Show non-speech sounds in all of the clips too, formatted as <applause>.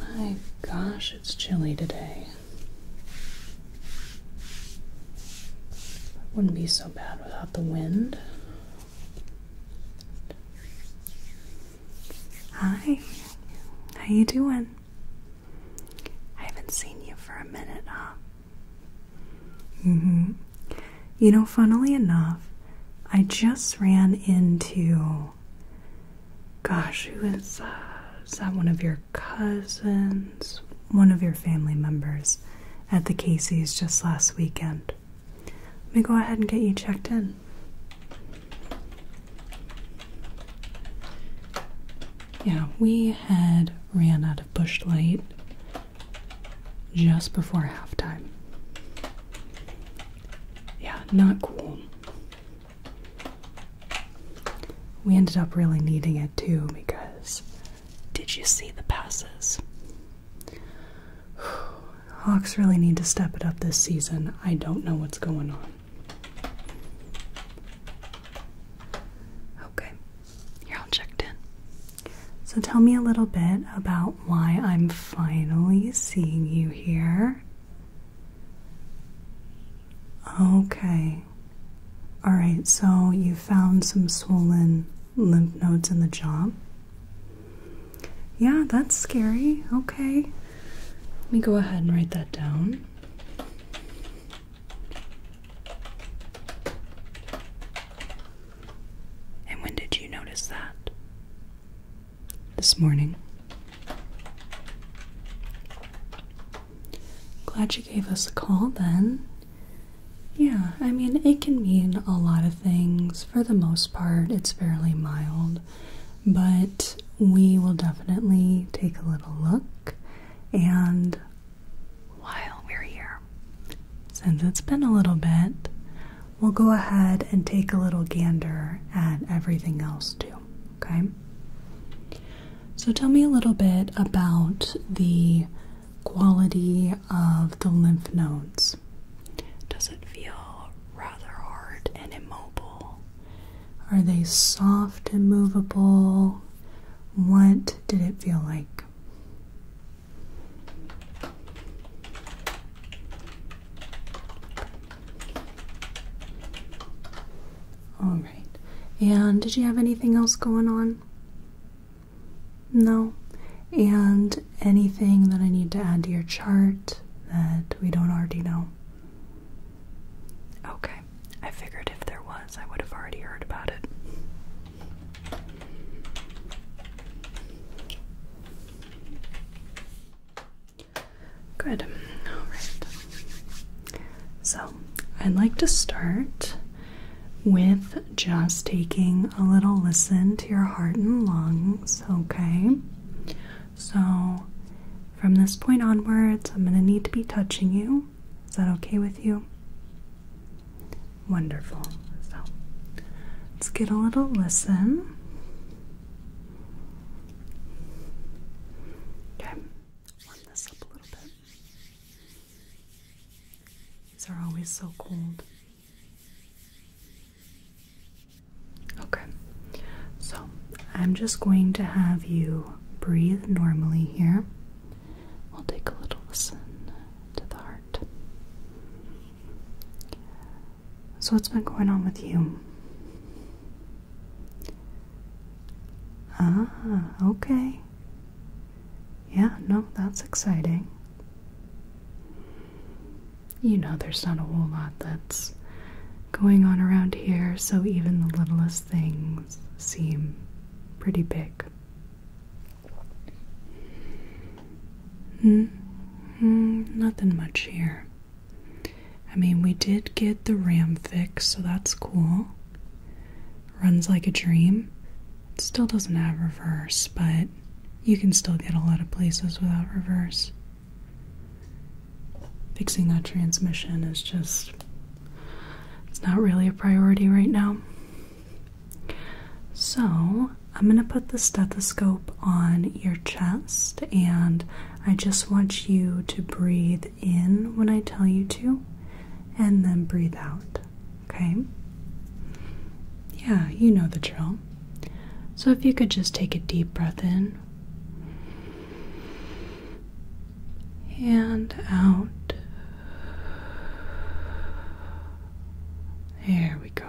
My gosh, it's chilly today. Wouldn't be so bad without the wind. Hi. How you doing? I haven't seen you for a minute, huh? hmm You know, funnily enough, I just ran into know. Gosh, who is that? Uh, is that one of your cousins? One of your family members at the Casey's just last weekend. Let me go ahead and get you checked in. Yeah, we had ran out of bush light just before halftime. Yeah, not cool. We ended up really needing it too because did you see the passes? <sighs> Hawks really need to step it up this season. I don't know what's going on. Okay, you're all checked in. So tell me a little bit about why I'm finally seeing you here. Okay. All right, so you found some swollen lymph nodes in the jaw. Yeah, that's scary. Okay. Let me go ahead and write that down. And when did you notice that? this morning. Glad you gave us a call then. Yeah, I mean, it can mean a lot of things. For the most part, it's fairly mild, but we will definitely take a little look. And while we're here, since it's been a little bit, we'll go ahead and take a little gander at everything else too, okay? So tell me a little bit about the quality of the lymph nodes. Does it feel rather hard and immobile? Are they soft and movable? What did it feel like? All right. And did you have anything else going on? No. And anything that I need to add to your chart that we don't already know? Okay. I figured if there was, I would have already heard about it. Good. All right. So I'd like to start with just taking a little listen to your heart and lungs, okay? So from this point onwards, I'm going to need to be touching you. Is that okay with you? Wonderful. So let's get a little listen. Okay, warm this up a little bit. These are always so cold. Okay, so I'm just going to have you breathe normally here. We'll take a little listen to the heart. So, what's been going on with you? Ah, okay. Yeah, no, that's exciting. You know, there's not a whole lot that's going on around here, so even the littlest things seem pretty big. Hmm, mm, nothing much here. I mean, we did get the RAM fixed, so that's cool. Runs like a dream. still doesn't have reverse, but you can still get a lot of places without reverse. Fixing that transmission is just, it's not really a priority right now. So, I'm going to put the stethoscope on your chest and I just want you to breathe in when I tell you to and then breathe out. Okay? Yeah, you know the drill. So if you could just take a deep breath in and out. There we go.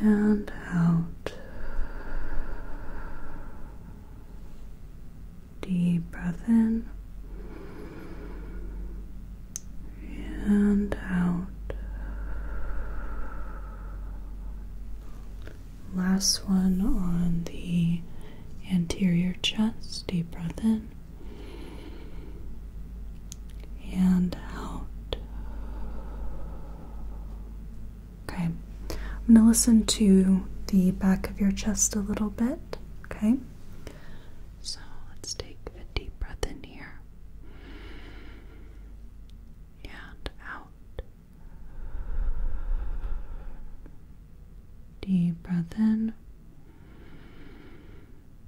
and out. Deep breath in and out. Last one on the anterior chest. Deep breath in and out. Okay, I'm going to listen to the back of your chest a little bit. Okay, so let's take a deep breath in here and out. Deep breath in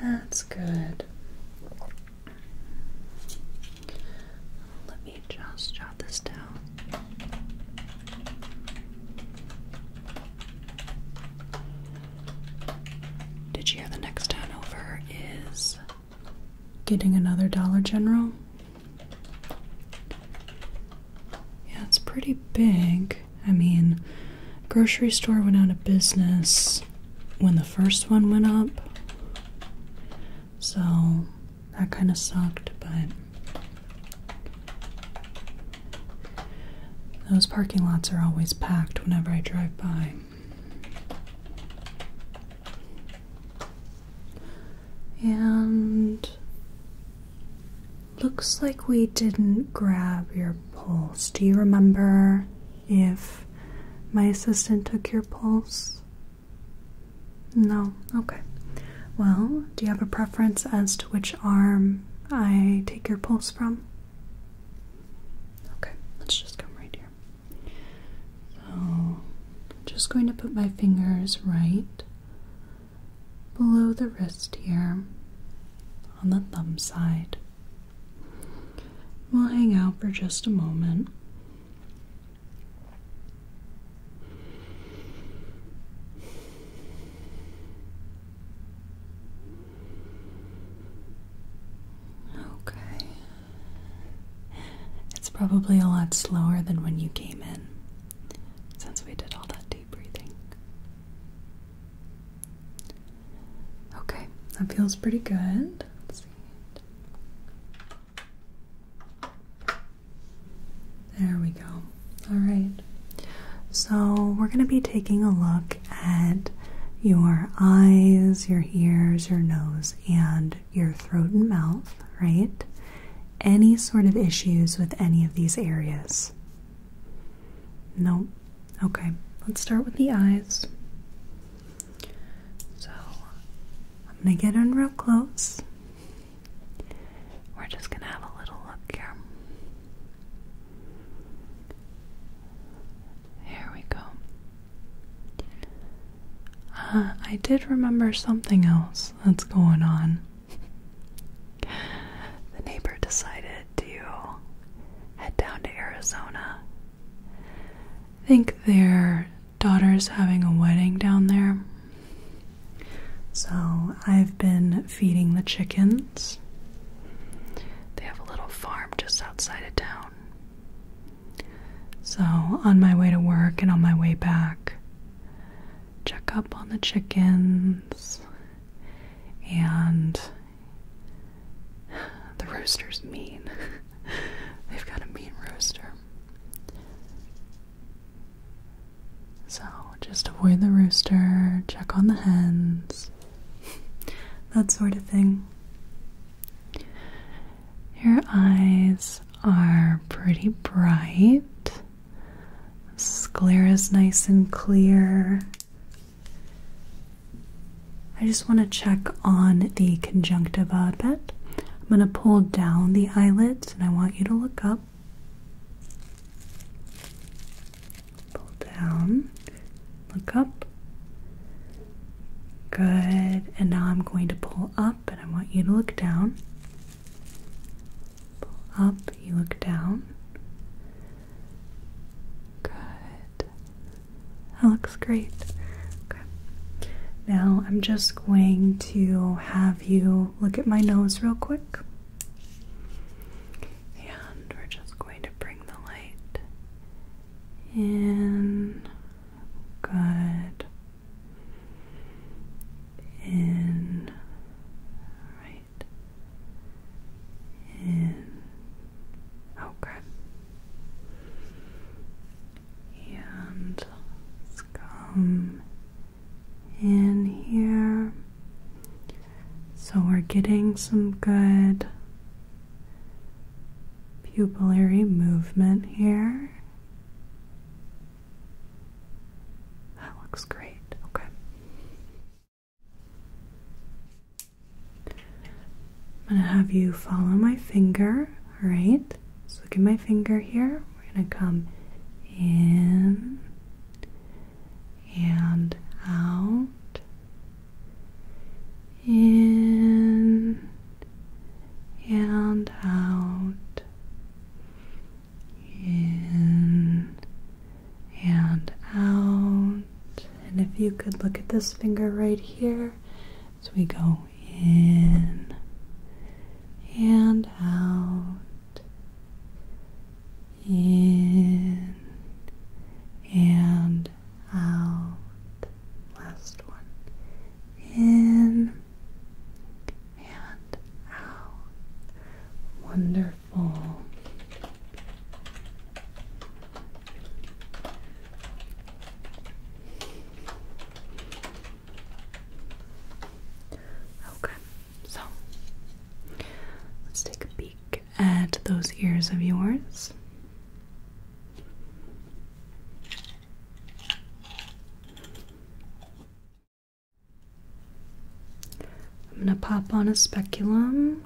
That's good. Let me just jot this down. Did you hear the next town over is getting another Dollar General? Yeah, it's pretty big. I mean, grocery store went out of business when the first one went up. So that kind of sucked, but those parking lots are always packed whenever I drive by. And Looks like we didn't grab your pulse. Do you remember if my assistant took your pulse? No? Okay. Well, do you have a preference as to which arm I take your pulse from? Okay, let's just come right here. So, just going to put my fingers right below the wrist here on the thumb side. We'll hang out for just a moment. Okay. It's probably a lot slower than when you came in since we did all that deep breathing. Okay, that feels pretty good. There we go. Alright. So we're gonna be taking a look at your eyes, your ears, your nose, and your throat and mouth, right? Any sort of issues with any of these areas? Nope. Okay, let's start with the eyes. So I'm gonna get in real close. We're just gonna have a little look here. Here we go. Uh, I did remember something else that's going on. <laughs> the neighbor decided to head down to Arizona. think their daughter's having a wedding down there. So I've been feeding the chickens. They have a little farm just outside of town. So on my way to work and on my way back, check up on the chickens and the rooster's mean. <laughs> They've got a mean rooster. So just avoid the rooster, check on the hens, <laughs> that sort of thing. Your eyes are pretty bright is nice and clear. I just want to check on the conjunctiva a I'm going to pull down the eyelids and I want you to look up. Pull down, look up. Good. And now I'm going to pull up and I want you to look down. Pull up, you look down. Good. That looks great. Okay. Now I'm just going to have you look at my nose real quick. And we're just going to bring the light in. Good. In. Right right. In okay. And oh, come in here. So we're getting some good pupillary movement here. That looks great. Okay. I'm gonna have you follow my finger, all right? So, look at my finger here. We're gonna come in and out, in and out in and out. And if you could look at this finger right here as we go in and out, in and out. Last one. In and out. Wonderful full. Oh. Okay, so let's take a peek at those ears of yours. I'm going to pop on a speculum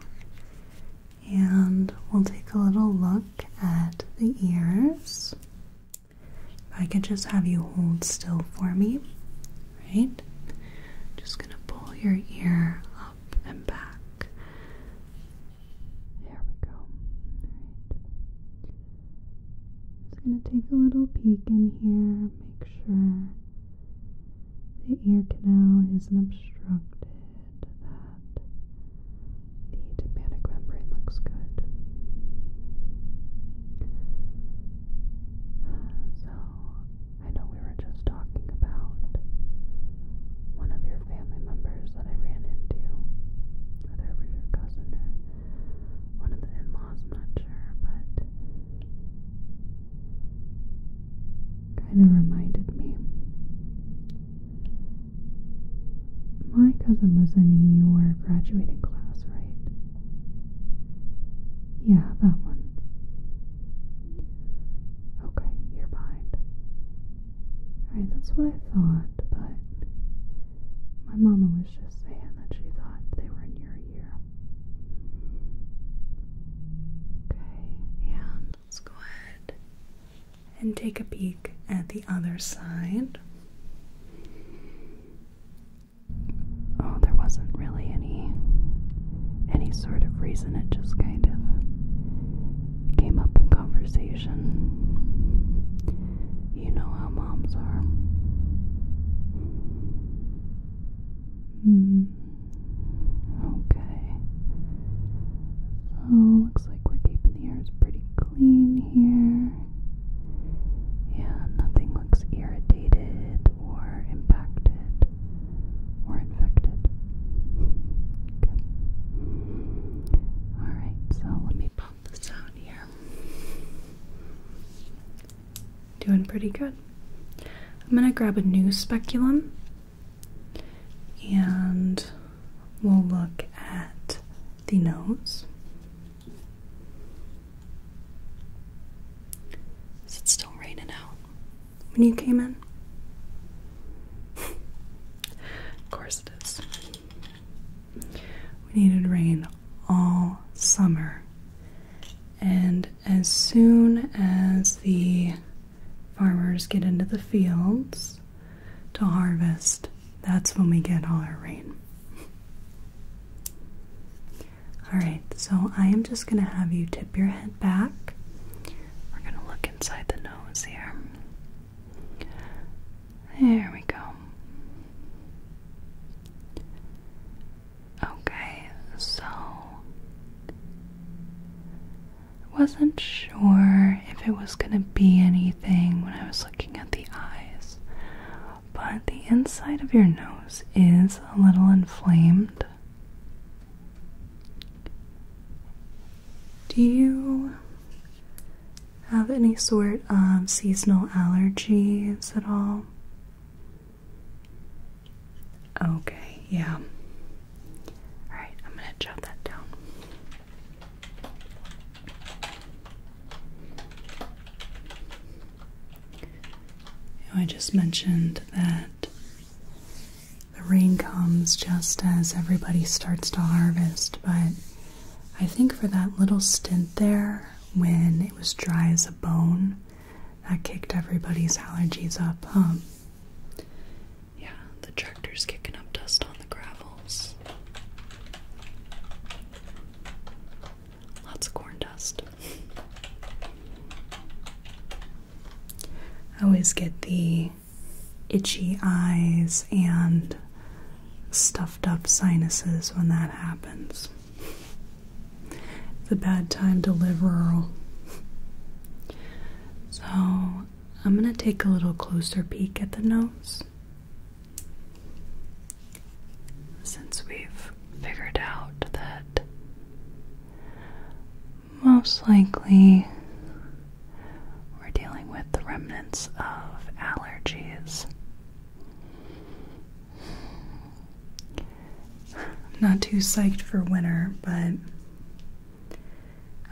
and we'll take a little look at the ears. If I could just have you hold still for me, right? Just going to pull your ear up and back. There we go. Just going to take a little peek in here, make sure the ear canal isn't obstructed, that the tympanic membrane looks good. So, I know we were just talking about one of your family members that I ran into, whether it was your cousin or one of the in laws, not sure, but kind of reminded me. My cousin was in your graduating class, right? Yeah, that one. Okay, you're behind. Alright, that's what I thought, but my mama was just saying that she thought they were in your Okay, and let's go ahead and take a peek at the other side. Oh, there wasn't really any any sort of reason. It just kind of came up in conversation. You know how moms are. Mm. Okay. So looks like we're keeping the ears pretty clean here. Yeah, nothing looks irritated or impacted or infected. Okay. Alright, so let me pop this out here. Doing pretty good. I'm going to grab a new speculum and we'll look at the nose. Is it still raining out when you came in? <laughs> of course it is. We needed rain all summer, and as soon as the farmers get into the fields to harvest, that's when we get all our rain. Alright, so I am just going to have you tip your head back. We're going to look inside the nose here. There we go. Okay, so I wasn't sure if it was going to be anything when I was looking at the eyes, but the inside of your nose is a little inflamed. Do you have any sort of seasonal allergies at all? Okay, yeah. Alright, I'm gonna jot that down. I just mentioned that the rain comes just as everybody starts to harvest, but I think for that little stint there when it was dry as a bone, that kicked everybody's allergies up, Yeah, the tractor's kicking up dust on the gravels. Lots of corn dust. I always get the itchy eyes and stuffed up sinuses when that happens. It's a bad time to live rural. So I'm going to take a little closer peek at the nose. Since we've figured out that most likely we're dealing with the remnants of allergies. Not too psyched for winter, but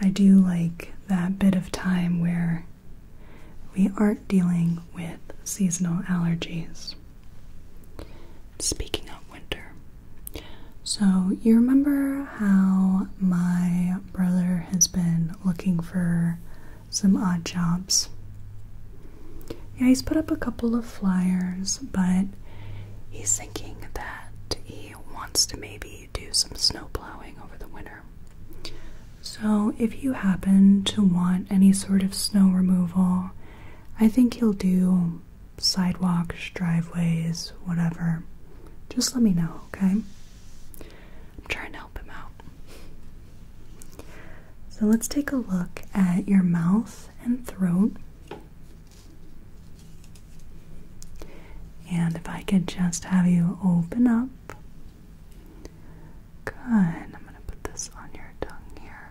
I do like that bit of time where we aren't dealing with seasonal allergies. Speaking of winter, so you remember how my brother has been looking for some odd jobs? Yeah, he's put up a couple of flyers, but he's thinking that he wants to maybe do some snow plowing over the winter. So, if you happen to want any sort of snow removal, I think he'll do sidewalks, driveways, whatever. Just let me know, okay? I'm trying to help him out. So, let's take a look at your mouth and throat. And if I could just have you open up. Good. I'm going to put this on your tongue here.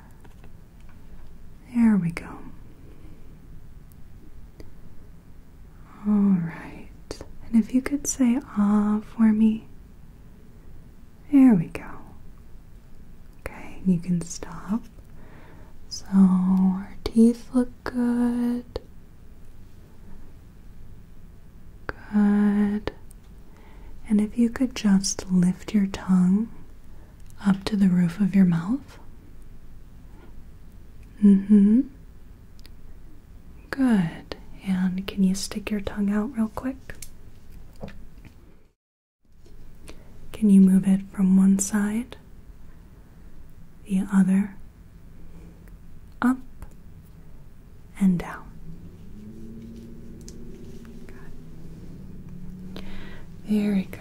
There we go. All right. And if you could say ah for me. There we go. Okay, you can stop. So our teeth look good. Good. And if you could just lift your tongue up to the roof of your mouth. Mm hmm. Good. And can you stick your tongue out real quick? Can you move it from one side, the other, up, and down? Very good.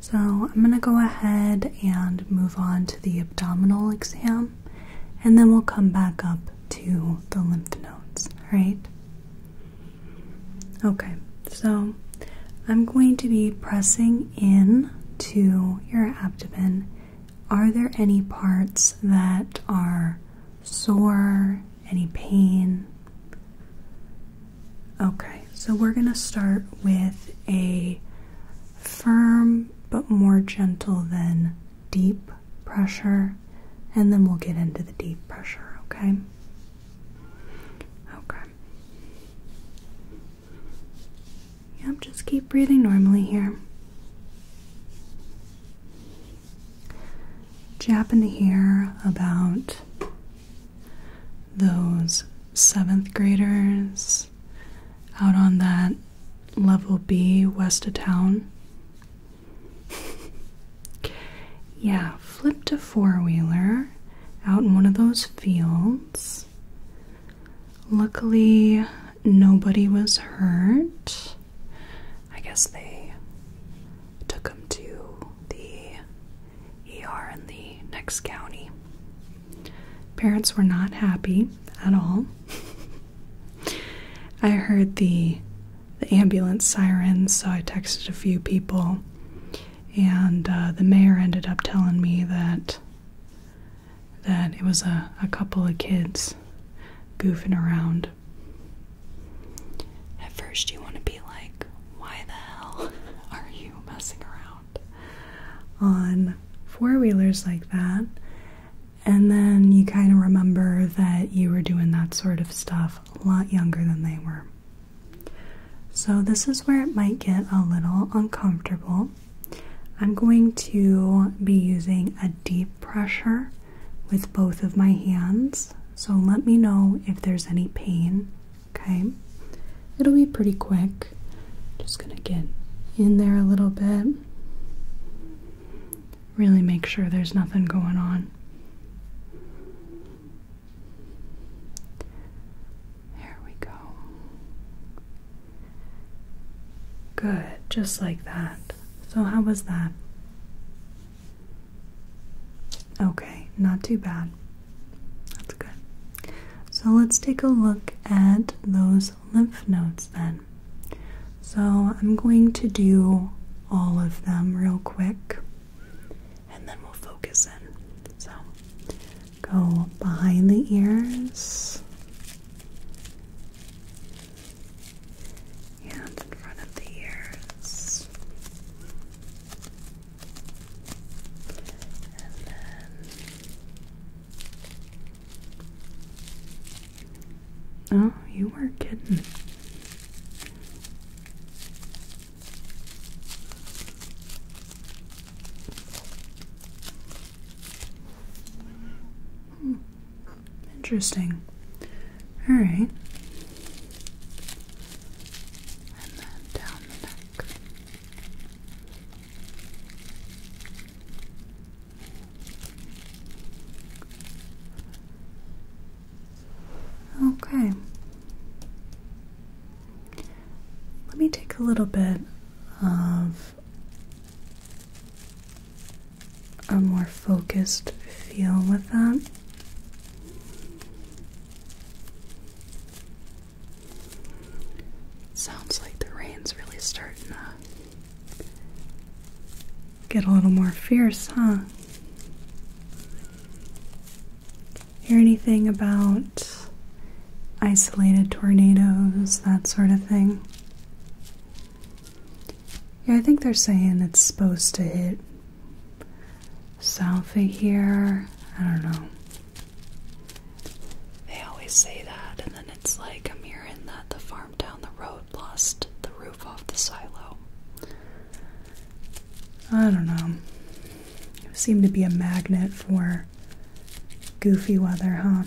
So I'm going to go ahead and move on to the abdominal exam, and then we'll come back up to the lymph nodes, right? Okay, so I'm going to be pressing in to your abdomen. Are there any parts that are sore, any pain? Okay, so we're going to start with a firm but more gentle than deep pressure, and then we'll get into the deep pressure, okay? Okay. Yep, just keep breathing normally here. Do you happen about those seventh graders out on that level B west of town. <laughs> yeah, flipped a four wheeler out in one of those fields. Luckily, nobody was hurt. I guess they took him to the ER in the next county. Parents were not happy at all. <laughs> I heard the the ambulance sirens, so I texted a few people, and uh, the mayor ended up telling me that that it was a, a couple of kids goofing around. At first, you want to be like why the hell <laughs> are you messing around on four wheelers like that? And then you kind of remember that you were doing that sort of stuff a lot younger than they were. So, this is where it might get a little uncomfortable. I'm going to be using a deep pressure with both of my hands. So, let me know if there's any pain Okay, it'll be pretty quick. Just gonna get in there a little bit. Really make sure there's nothing going on. There we go. Good, just like that. So, how was that? Okay, not too bad. That's good. So let's take a look at those lymph nodes then. So I'm going to do all of them real quick and then we'll focus in. So go behind the ears. And in front of the ears. Oh, you were kidding. Hmm. Interesting. All right and then down the neck. Okay. Let me take a little bit of a more focused feel with that sounds like the rain's really starting to get a little more fierce, huh? Hear anything about isolated tornadoes, that sort of thing? Yeah, I think they're saying it's supposed to hit south here. I don't know. They always say that, and then it's like I'm hearing that the farm down the road lost the roof off the silo. I don't know. It to be a magnet for goofy weather, huh?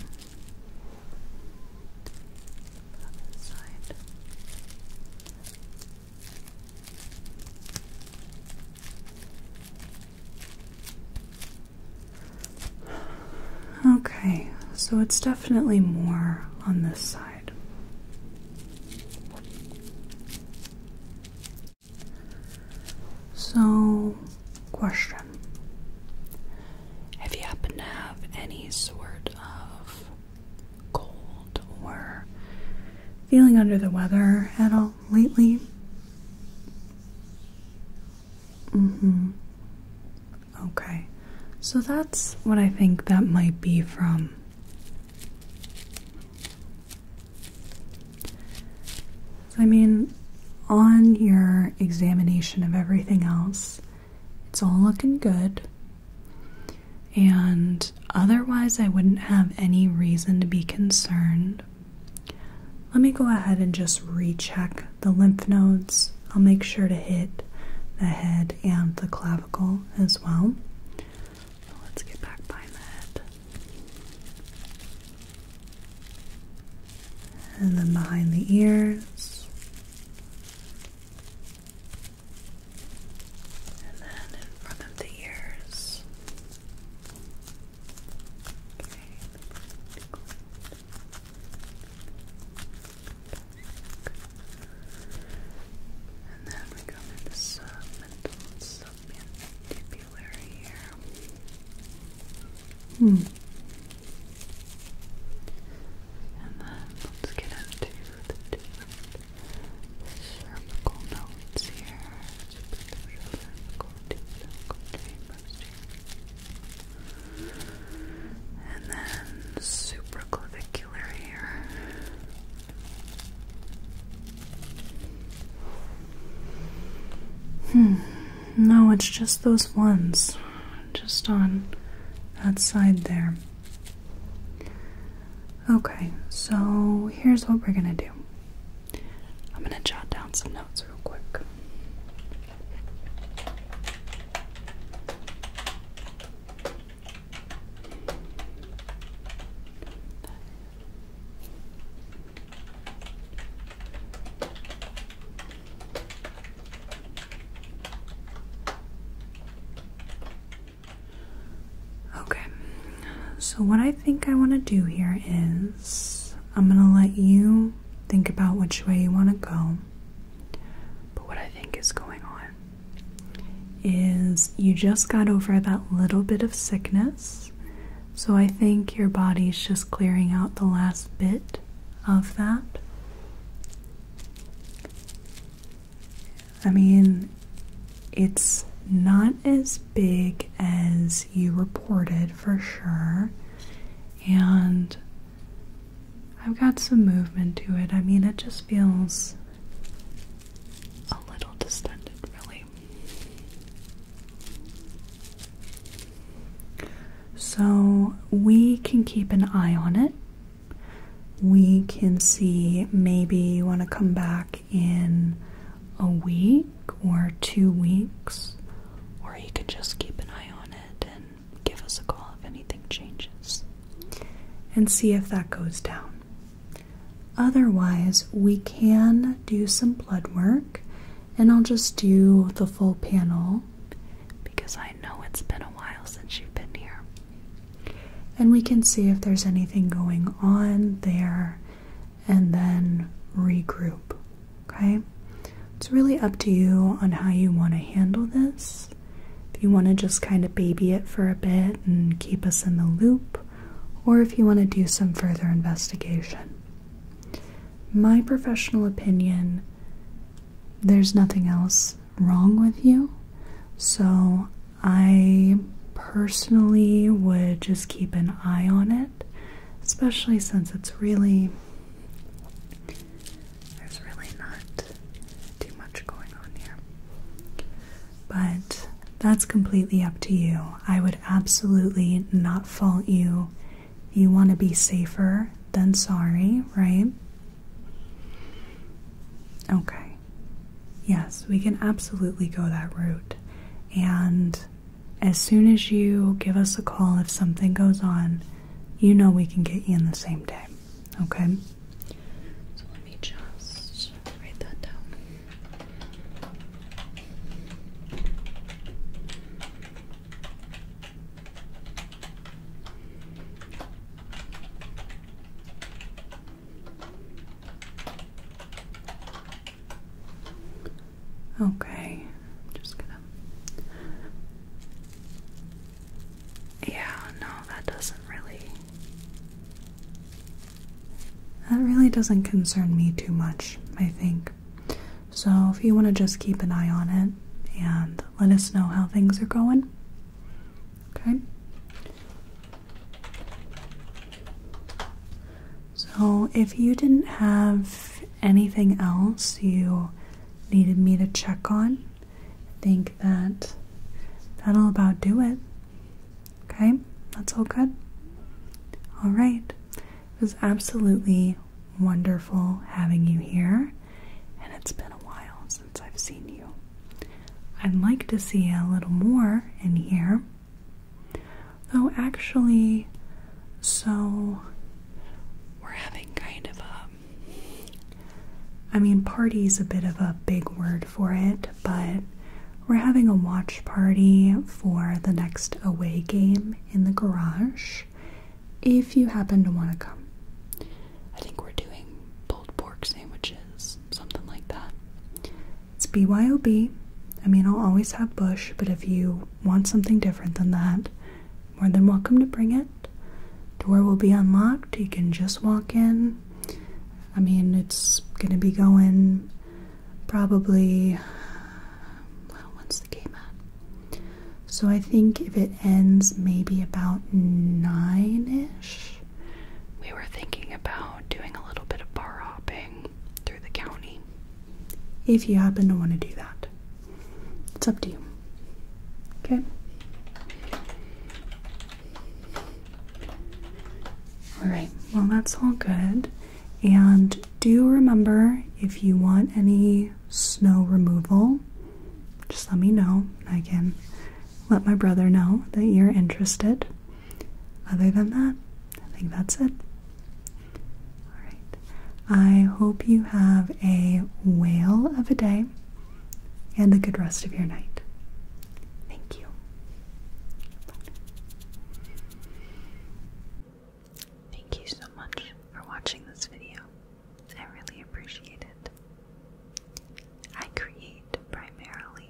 Okay, so it's definitely more on this side. So, question If you happen to have any sort of cold or feeling under the weather at all? lately? Mm hmm. Okay. So that's what I think that might be from. I mean, on your examination of everything else, it's all looking good. And otherwise I wouldn't have any reason to be concerned. Let me go ahead and just recheck the lymph nodes. I'll make sure to hit the head and the clavicle as well. let's get back behind the head. And then behind the ears. And then in front of the ears. And then we come into submental submandibular here. Hmm. And then let's get into the different cervical nodes here, superficial cervical, deep cervical here, and then supraclavicular here. Hmm. No, it's just those ones, just on that side there. Okay, so here's what we're gonna do. I'm gonna jot down some notes real quick. Okay, so what I think I want to do here is I'm going to let you think about which way you want to go. But what I think is going on is you just got over that little bit of sickness. So I think your body's just clearing out the last bit of that. I mean, it's not as big as you reported for sure, and I've got some movement to it. I mean, it just feels a little distended, really. So, we can keep an eye on it. We can see maybe you want to come back in a week or two weeks, or you can just keep an eye on it and give us a call if anything changes and see if that goes down. Otherwise, we can do some blood work and I'll just do the full panel because I know it's been a while since you've been here and we can see if there's anything going on there and then regroup. Okay? It's really up to you on how you want to handle this. If you want to just kind of baby it for a bit and keep us in the loop, or if you want to do some further investigation. My professional opinion there's nothing else wrong with you, so I personally would just keep an eye on it, especially since it's really. There's really not too much going on here. But that's completely up to you. I would absolutely not fault you. You want to be safer than sorry, right? Okay. Yes, we can absolutely go that route. And as soon as you give us a call if something goes on, you know we can get you in the same day. Okay? So let me just write that down. Okay, just gonna. Yeah, no, that doesn't really. That really doesn't concern me too much, I think. So, if you want to just keep an eye on it and let us know how things are going, okay? So, if you didn't have anything else you needed me to check on, I think that that'll about do it. Okay, that's all good. All right, it was absolutely wonderful having you here, and it's been a while since I've seen you. I'd like to see a little more in here. Oh, actually, so we're having kind of a. I mean, party's a bit of a big word for it, but we're having a watch party for the next away game in the garage if you happen to want to come. I think we're doing pulled pork sandwiches, something like that. It's BYOB. I mean, I'll always have Bush, but if you want something different than that, more than welcome to bring it. Door will be unlocked. You can just walk in. I mean, it's going to be going probably. Well, when's the game at? So I think if it ends maybe about nine ish we were thinking about doing a little bit of bar hopping through the county. If you happen to want to do that, it's up to you. Okay? Alright, well, that's all good. And do remember if you want any snow removal, just let me know. I can let my brother know that you're interested. Other than that, I think that's it. All right. I hope you have a whale of a day and a good rest of your night. Thank you. Thank you so much for watching this video. I really appreciate it. I create primarily